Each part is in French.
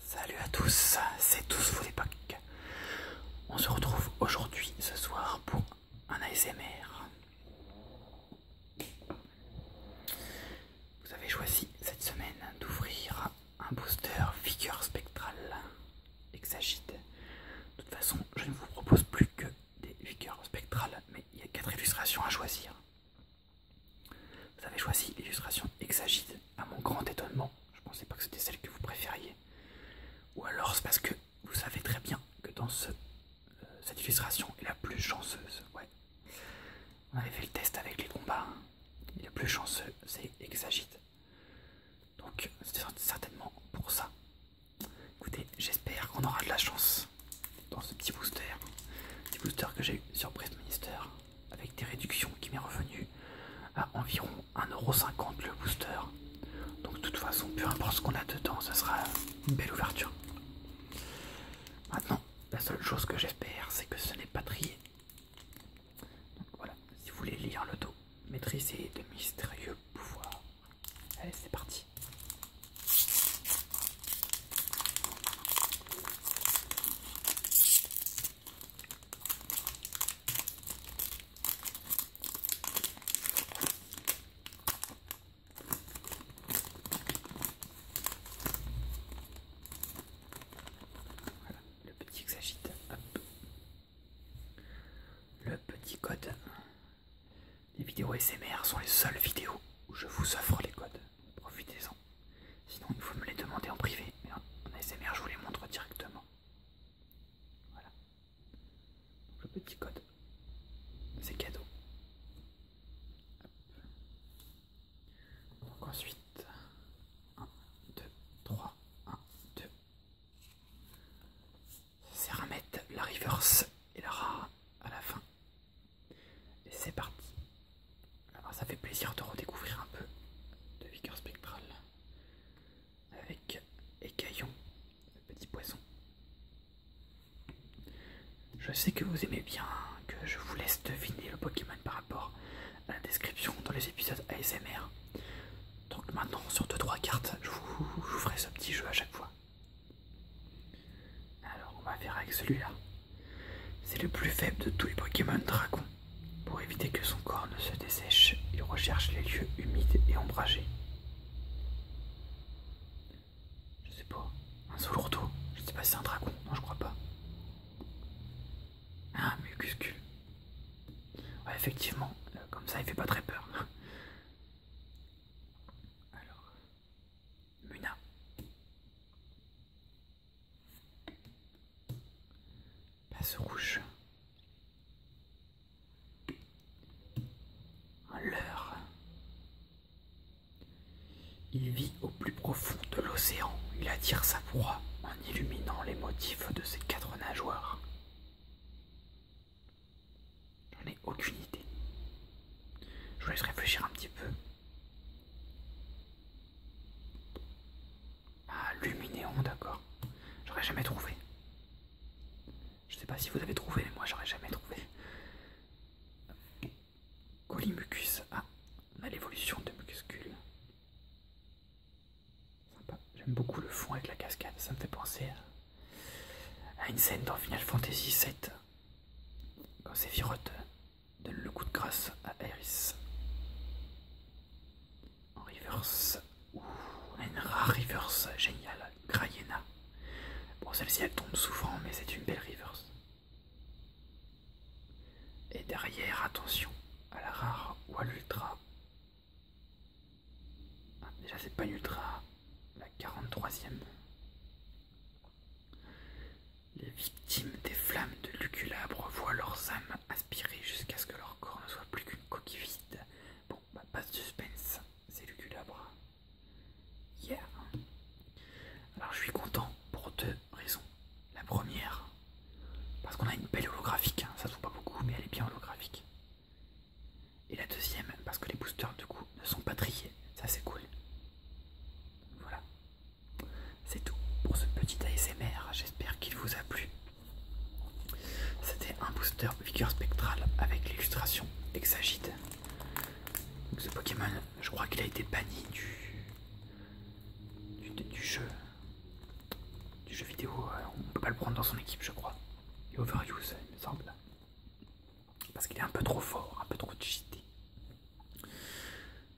Salut à tous, c'est tous vos époques. On se retrouve aujourd'hui, ce soir, pour un ASMR. Vous avez choisi cette semaine d'ouvrir un booster figure spectral exagite. De toute façon, je ne vous propose plus que des figures spectrales, mais il y a quatre illustrations à choisir. Vous avez choisi l'illustration Exagite, à mon grand étonnement. Je ne pensais pas que c'était celle que vous préfériez. Ou alors c'est parce que vous savez très bien que dans euh, cette illustration est la plus chanceuse. Ouais. On avait fait le test avec les combats. la plus chanceux, c'est Exagite. Donc c'est certainement pour ça. Écoutez, j'espère qu'on aura de la chance dans ce petit booster. Petit booster que j'ai eu sur Press Minister avec des réductions qui m'est revenu à environ 1,50€ le booster. Donc de toute façon, peu importe ce qu'on a dedans, ce sera une belle ouverture. Maintenant, la seule chose que j'espère, c'est que ce n'est pas trié. Donc voilà, si vous voulez lire le dos, maîtriser de mystérieux pouvoirs. Allez, c'est parti. Voilà, le petit que s'agite. Le petit code les vidéos SMR sont les seules vidéos où je vous offre les codes. Profitez-en. Sinon, il faut me les demander en privé. Mais en SMR, je vous les montre directement. Voilà. le petit code, c'est cadeau. Donc ensuite... 1, 2, 3, 1, 2 c'est remettre la reverse et la Ra à la fin. Et c'est parti. Alors ça fait plaisir de redécouvrir un peu de Vicker Spectral avec Écaillon, le petit poisson. Je sais que vous aimez bien que je vous laisse deviner le Pokémon par rapport à la description dans les épisodes ASMR. Donc maintenant sur 2-3 cartes, je vous, je vous ferai ce petit jeu à chaque fois. Alors on va faire avec celui-là. C'est le plus faible de tous les Pokémon Dragon. Pour éviter que son corps ne se dessèche, il recherche les lieux humides et ombragés. Je sais pas. Un solourdo Je sais pas si c'est un dragon. Non, je crois pas. Un ah, mucuscu. effectivement, euh, comme ça il fait pas très peur. Alors, Muna. Passe rouge. Un leurre. Il vit au plus profond de l'océan. Il attire sa proie en illuminant les motifs de ses quatre nageoires. J'en ai aucune idée. Je vous laisse réfléchir un petit peu. Ah, Luminéon, d'accord. J'aurais jamais trouvé. Je ne sais pas si vous avez trouvé, mais moi j'aurais jamais trouvé. Colimucus. Ah, on a l'évolution de Muscule. Sympa. J'aime beaucoup le fond avec la cascade. Ça me fait penser à à une scène dans Final Fantasy VII, quand Sephiroth donne le coup de grâce à Aeris. En reverse, ou une rare reverse géniale, Grayena. Bon, celle-ci elle tombe souvent, mais c'est une belle reverse. Et derrière, attention à la rare ou à l'ultra ah, déjà, c'est pas ultra. La 43 ème Les victimes des flammes de Luculabre voient leurs âmes aspirer jusqu'à ce que leur corps ne soit plus qu'une coquille vide. Bon, bah, pas de suspense, c'est Luculabre. Yeah! Alors, je suis content pour deux raisons. La première, parce qu'on a une belle holographique, hein. ça se voit pas beaucoup, mais elle est bien holographique. Et la deuxième, parce que les boosters du coup ne sont pas triés. Ça c'est cool. Voilà. C'est tout pour ce petit ASMR. J'espère qu'il vous a plu. C'était un booster vigueur Spectral avec l'illustration Exagite. ce Pokémon, je crois qu'il a été banni du, du jeu du jeu vidéo, euh, on ne peut pas le prendre dans son équipe, je crois. Il overuse, il me semble. Parce qu'il est un peu trop fort, un peu trop cheaté.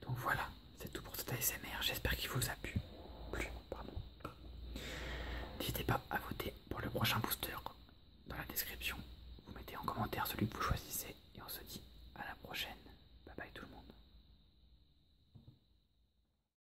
Donc voilà, c'est tout pour cet ASMR. J'espère qu'il vous a plu. N'hésitez pas à voter pour le prochain booster dans la description. Vous mettez en commentaire celui que vous choisissez. Et on se dit à la prochaine. Bye bye tout le monde.